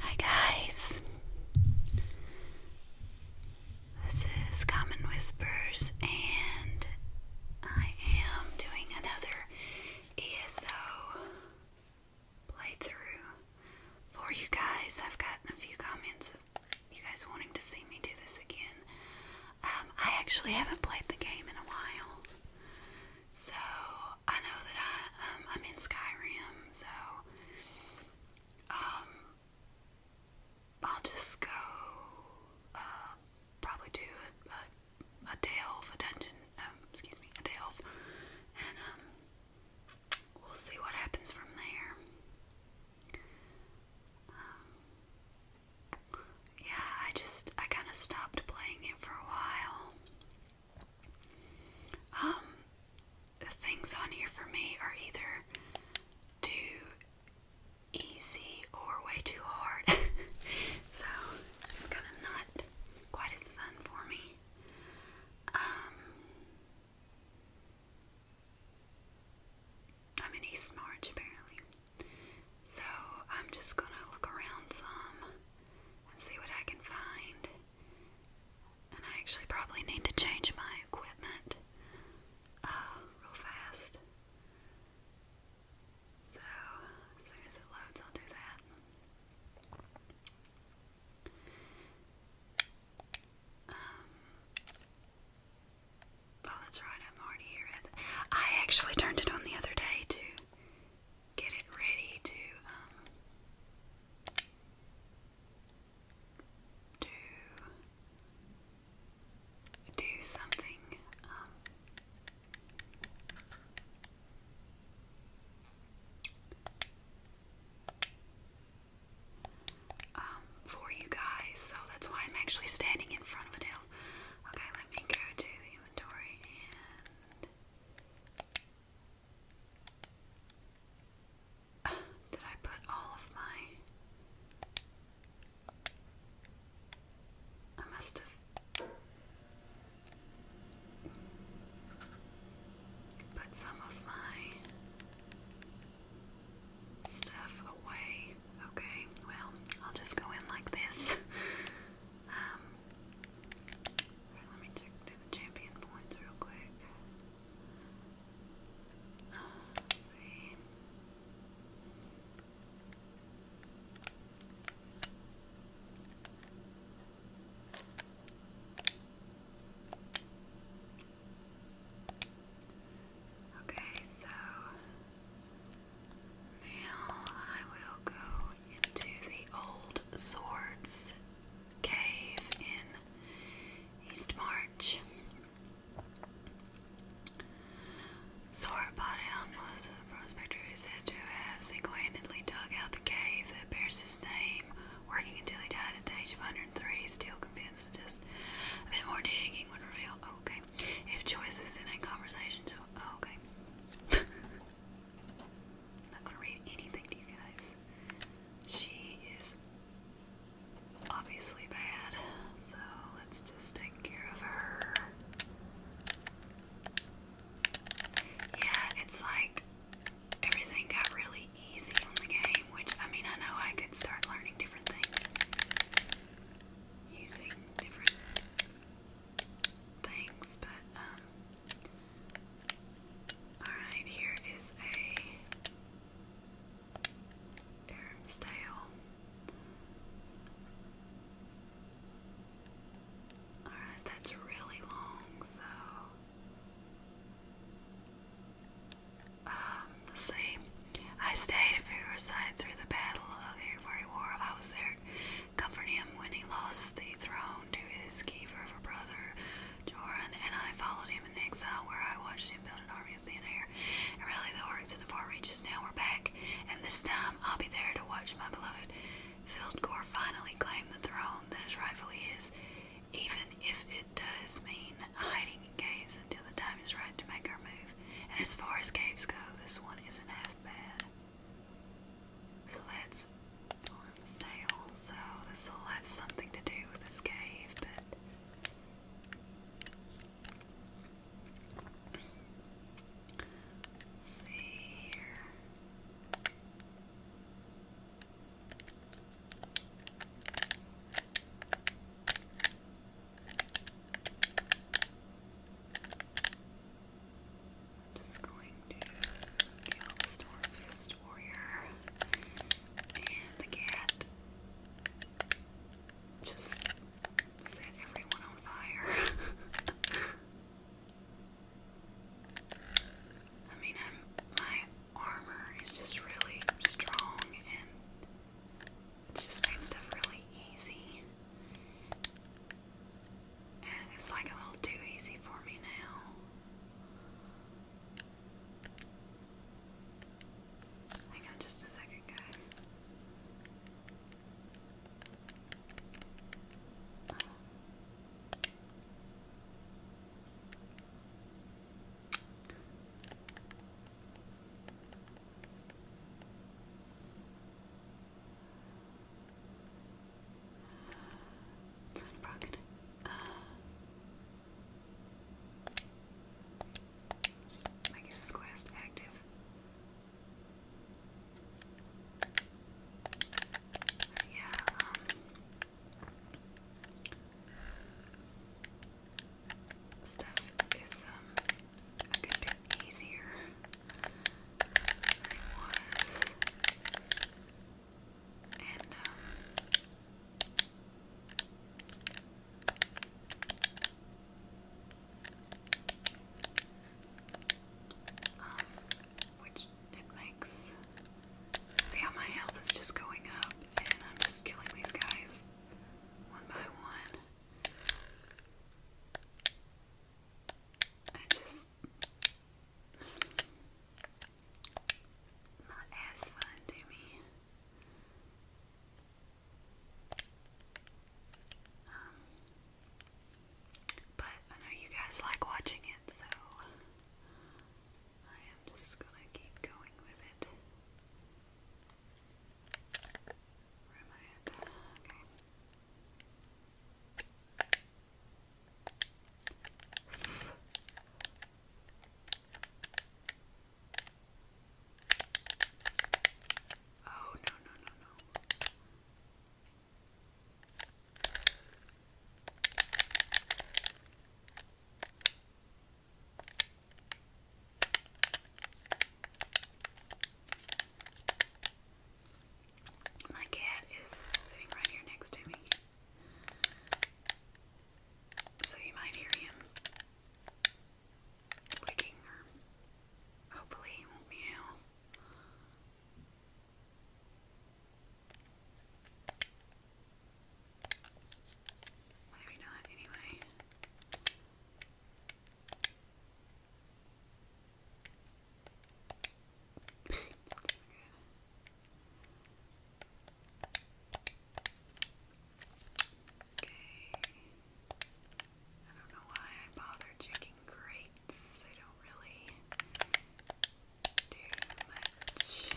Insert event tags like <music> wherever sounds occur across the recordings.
Hi guys. This is Common Whispers and I am doing another ESO playthrough for you guys. I've gotten a few comments of you guys wanting to see me do this again. Um, I actually haven't played the game in a while, so I know that I um, I'm in Skyrim, so um, I'll just go uh, probably do a, a, delve, a dungeon, excuse me, a delve, and we'll see what happens from there yeah, I just I kind of stopped playing it for a while. Um, things on here for me are either too easy or way too hard, <laughs> so it's kind of not quite as fun for me. Um, I'm in East March apparently. So I'm just gonna look around some and see what I can find. And I actually probably need to change my equipment uh, real fast. So as soon as it loads, I'll do that. Um, Oh, that's right, i here. I actually turned it on the other day to get it ready to, um, do something, um, um, for you guys, so that's why I'm actually standing in front of it now. Okay, let me go to inventory <sighs> did I put all of my. I must have. Put some of my stuff away. Okay, well, I'll just go in like this. <laughs> Um, let me check do the champion points real quick. Uh, see. Okay, so now I will go into the old swords cave in East March. Sauropodown was a prospector who is said to have single handedly dug out the cave that bears his name, working until he died at the age of 103, still convinced just a bit more digging would reveal. Oh, okay. If choices in a conversation Oh, okay. <laughs> not gonna read anything to you guys. She is obviously bad, so let's just take care of her. Yeah, it's like everything got really easy on the game, which I mean, I know I could start learning different things using different Thanks, but um alright, here is a Aram's Tale. Alright, that's really long, so um, let's I stayed at Figueroa's side through the Battle of the Iroquois War. I was there comforting him when he lost the throne to his keeper of a brother, Joran, and I followed him in exile where I watched him build an army of the air and rally the hordes in the far reaches. Now we're back, and this time I'll be there to watch my beloved Fieldcore finally claim the throne that is rightfully his, even if it does mean hiding in caves until the time is right to make our move. And as far as caves go, this one isn't half bad. So that's Thorn's tail. So this will have something to do with this cave, but see here. I'm just going to kill the Stormfist Warrior and the cat. Just set everyone on fire. <laughs> I mean, my armor is just really strong and it just made stuff really easy. And it's like a little too easy for me now. Hang on just a second, guys. Side bracket. Uh, this quest active. yeah, stuff is um a good bit easier than it was. And, um, um, which it makes. See how my health is just going up, and I'm just killing these guys one by one. I just not as fun to me. Um, but I know you guys like watching it, so I am just gonna keep going with it. Where am I at? Okay. <sighs> Oh, no, no, no, no. My cat is sitting right here next to me. So you might hear him licking hopefully he Maybe not anyway so good. Okay. I don't know why I bother checking crates. They don't really do much.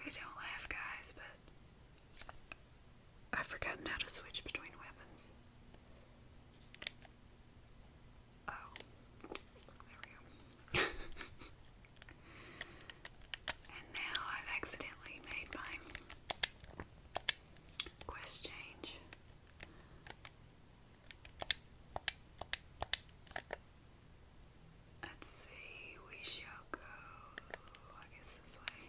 Okay, don't laugh, guys, but I've forgotten how to switch between weapons. Oh, there we go. <laughs> and now I've accidentally made my quest change. Let's see, we shall go, I guess this way,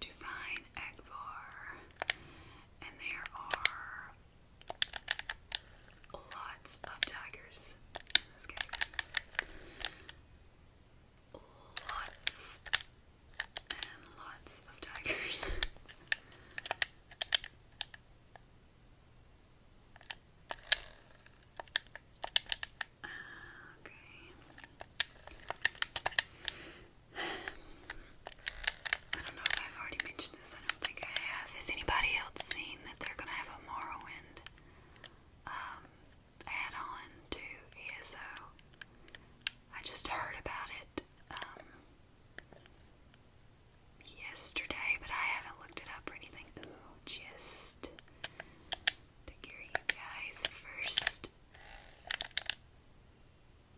to find Egvar. And there are lots of tigers in this game. Lots and lots of tigers. <laughs> Okay. <sighs> I don't know if I've already mentioned this. I don't think I have. Has anybody else seen that they're gonna have a Morrowind um, add-on to ESO? I just heard about it. Um, yesterday, but I haven't looked it up or anything. Ooh, just to hear you guys first.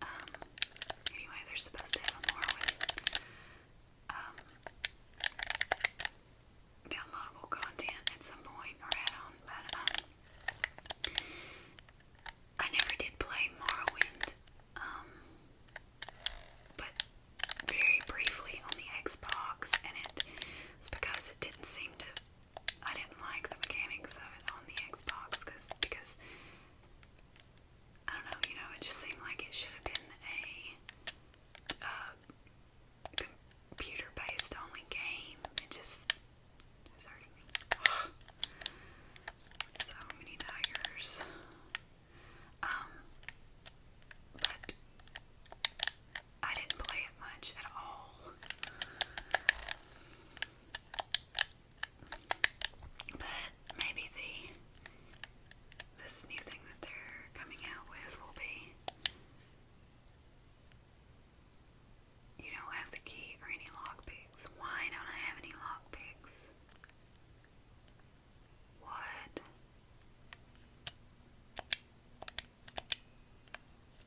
Um, anyway, they're supposed to have a more um, downloadable content at some point or add on, but um, I never did play Morrowind. but very briefly on the Xbox, and it was because it didn't seem to. I didn't like the mechanics of it on the Xbox cause, because I don't know, you know, it just seemed like it should have been a uh, computer based only game. It just. It was hurting me. so many tigers. Um, but I didn't play it much at all. But maybe the this new thing that they're coming out with will be you don't have the key or any lock Why don't I have any lock picks? What?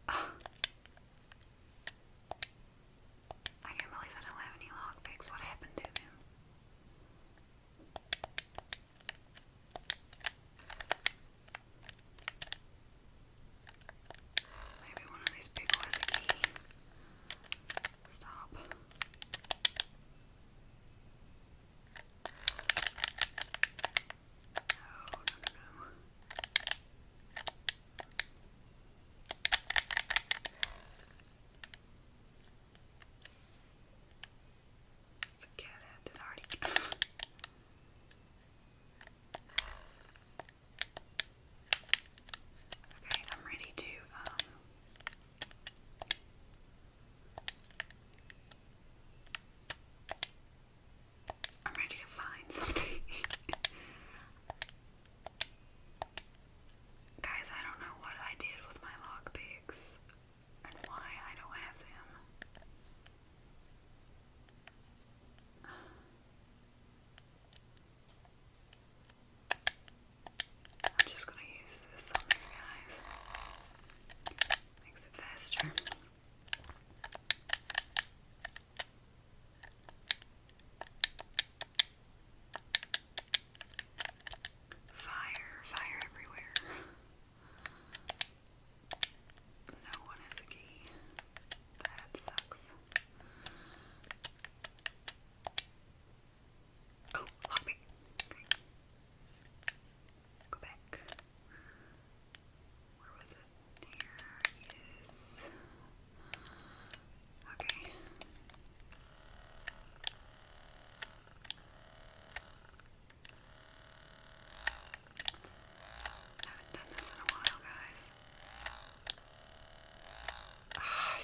Ah. I can't believe I don't have any log picks. What happened to them? Maybe one of these people has a key. Stop. No, no, no, It's a cat head that already. okay, I'm ready to um I'm ready to find something. <laughs> Guys, I don't know what I did with my log and why I don't have them. I'm just gonna use this on these guys. Makes it faster. Fire, fire everywhere. No one has a key. That sucks. Oh, lock pick. Go back. Where was it? Here. Yes. Okay. haven't done this in a while, guys. Ah,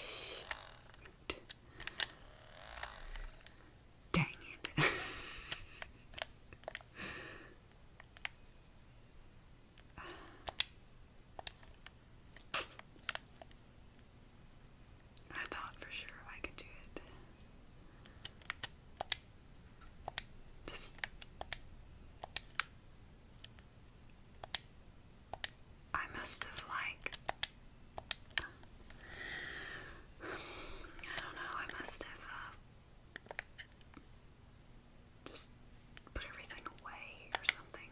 Dang it. <sighs> I thought for sure I could do it. Just I must have like I don't know, I must have uh, just put everything away or something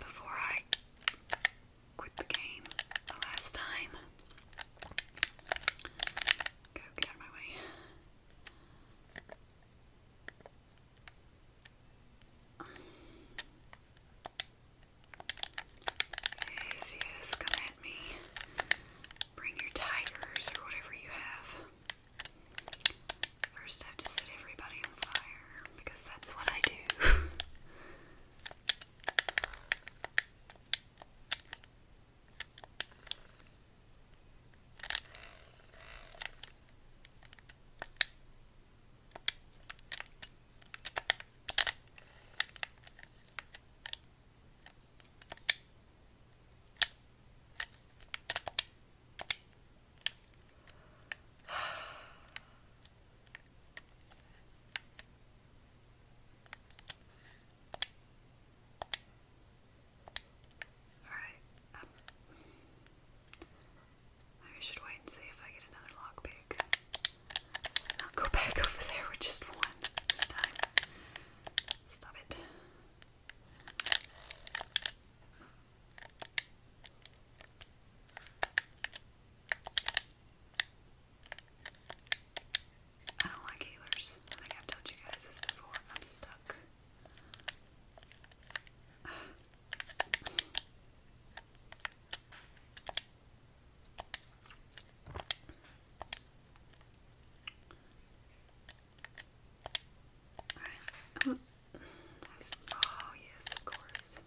before I quit the game the last time. Go, get out of my way. Yes, yes, come me. Bring your tigers or whatever you have. First, I have to set everybody on fire because that's what I do. All right. Um, I should wait and see if I get another lockpick. I'll go back over there with just one this time. Stop it. I don't like healers. I think I've told you guys this before. I'm stuck. <sighs> Alright. Oh, yes, of course.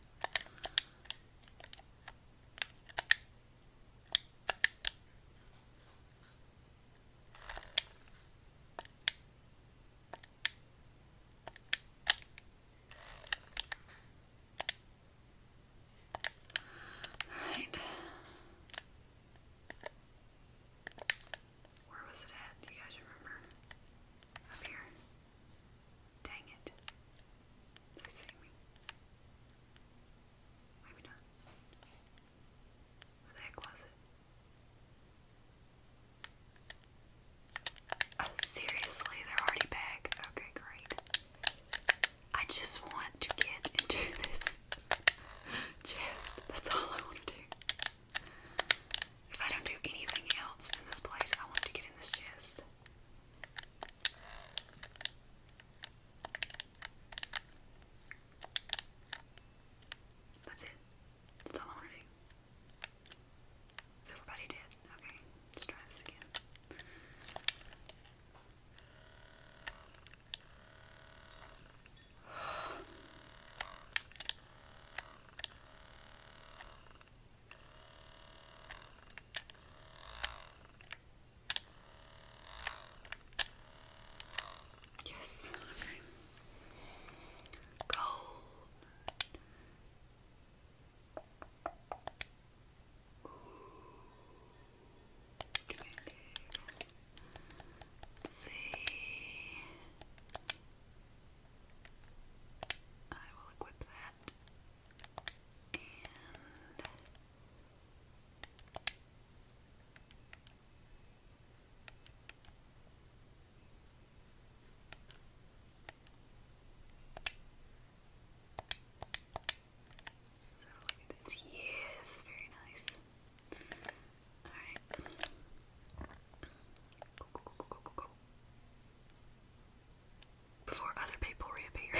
All right. Where was it at? you guys remember? Up here. Dang it. They see me. Maybe not. Where the heck was it? Oh, seriously, they're already back. Okay, great. I just want to get into <laughs> this chest. That's all I want to do. If I don't do anything else in this place, I want to get in this chest. That's it. That's all I want to do. So everybody did. Okay, let's try this again. Yes, okay. Gold. See, I will equip that and Yes, very nice. Alright. Go, go, go, go, go, go. Before other people reappear.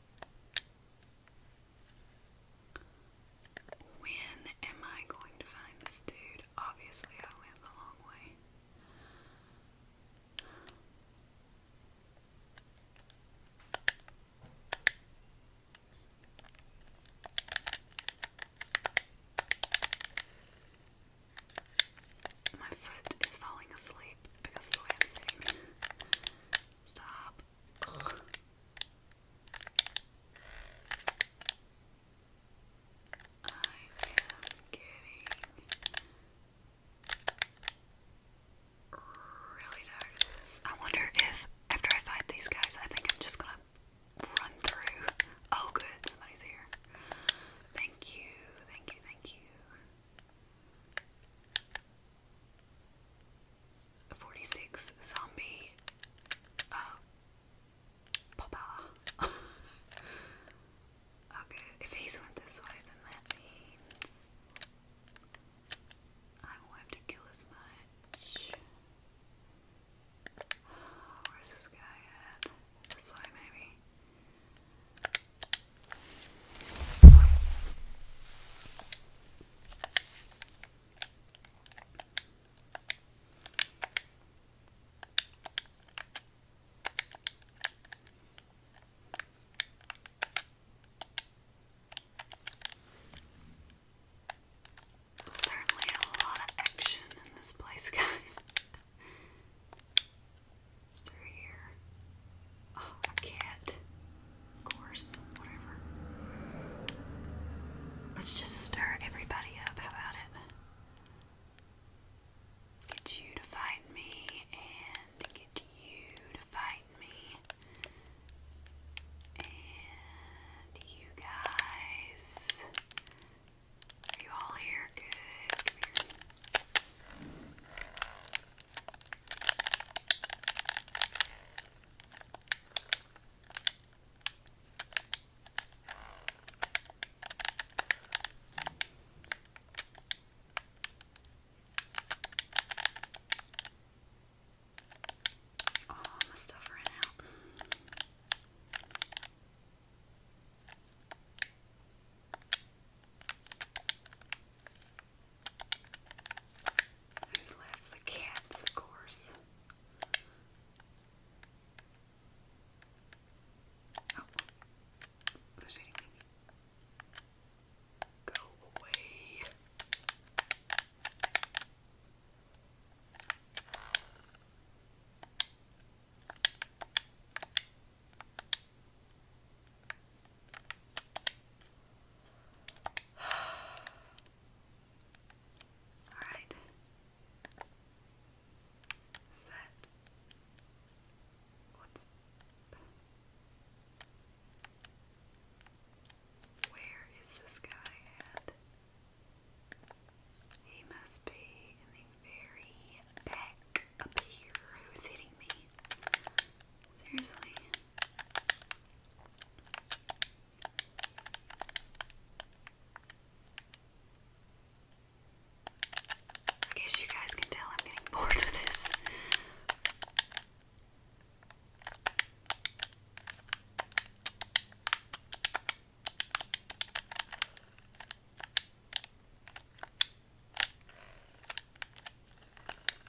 When am I going to find this dude? Obviously, I went the long way. My foot is falling asleep because of the way I'm sitting. Stop. I am getting really tired of this. I wonder if after I fight these guys, I think I'm just gonna run through. Oh, good, somebody's here. Thank you, thank you, thank you. 46 zombie uh, papa <laughs> oh if he's went this way then that means I won't have to kill as much where's this guy at? This way maybe Certainly a lot of action in this place, <laughs> guys. Stir here. Oh, a cat. Of course. Whatever. Let's just stir everybody up. How about it? Get you to fight me and get you to fight me. And you guys. Are you all here? Good. Oh, my stuff ran out. Who's left? The cats, of course. Oh, who's eating me? Go away. <sighs> All right. Is that what's where is this guy at? He must be in the very back up here. Who's hitting me? Seriously. I guess you guys can tell I'm getting bored with this.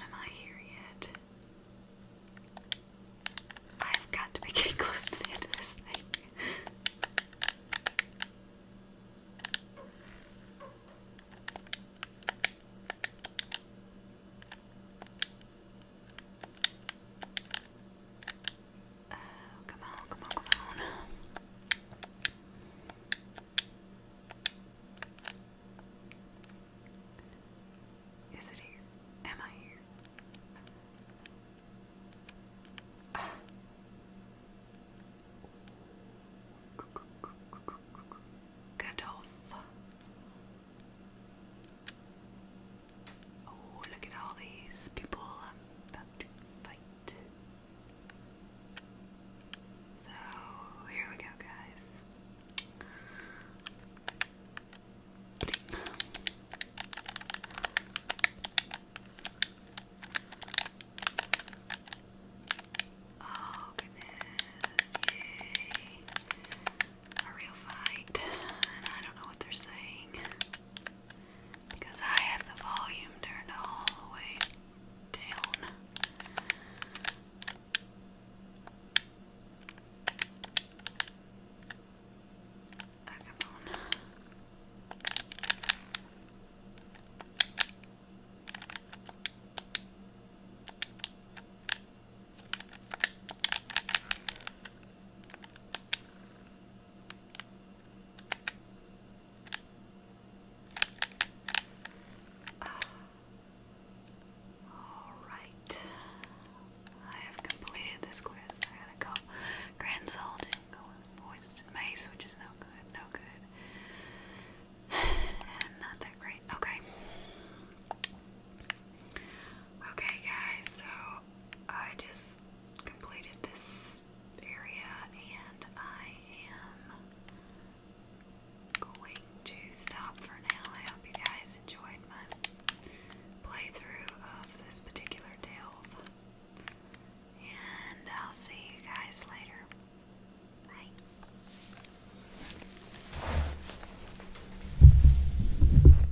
am I here yet? I've got to be getting <laughs> close to the end of this thing. Uh, come on, come on, come on. Is it here? Am I here? Uh. Godolph. Oh, look at all these people I'm about to fight. So, here we go, guys. Oh, goodness, yay. A real fight, I don't know what they're saying because I have the volume turned all the way down. Ah, come on. Uh, all right, I have completed this quiz. I gotta go. Grand Salt didn't go which is no good, no good, <sighs> not that great. Okay. Okay, guys, so I just completed this area and I am going to stop for now. I hope you guys enjoyed my playthrough of this particular delve. And I'll see you guys later. Bye.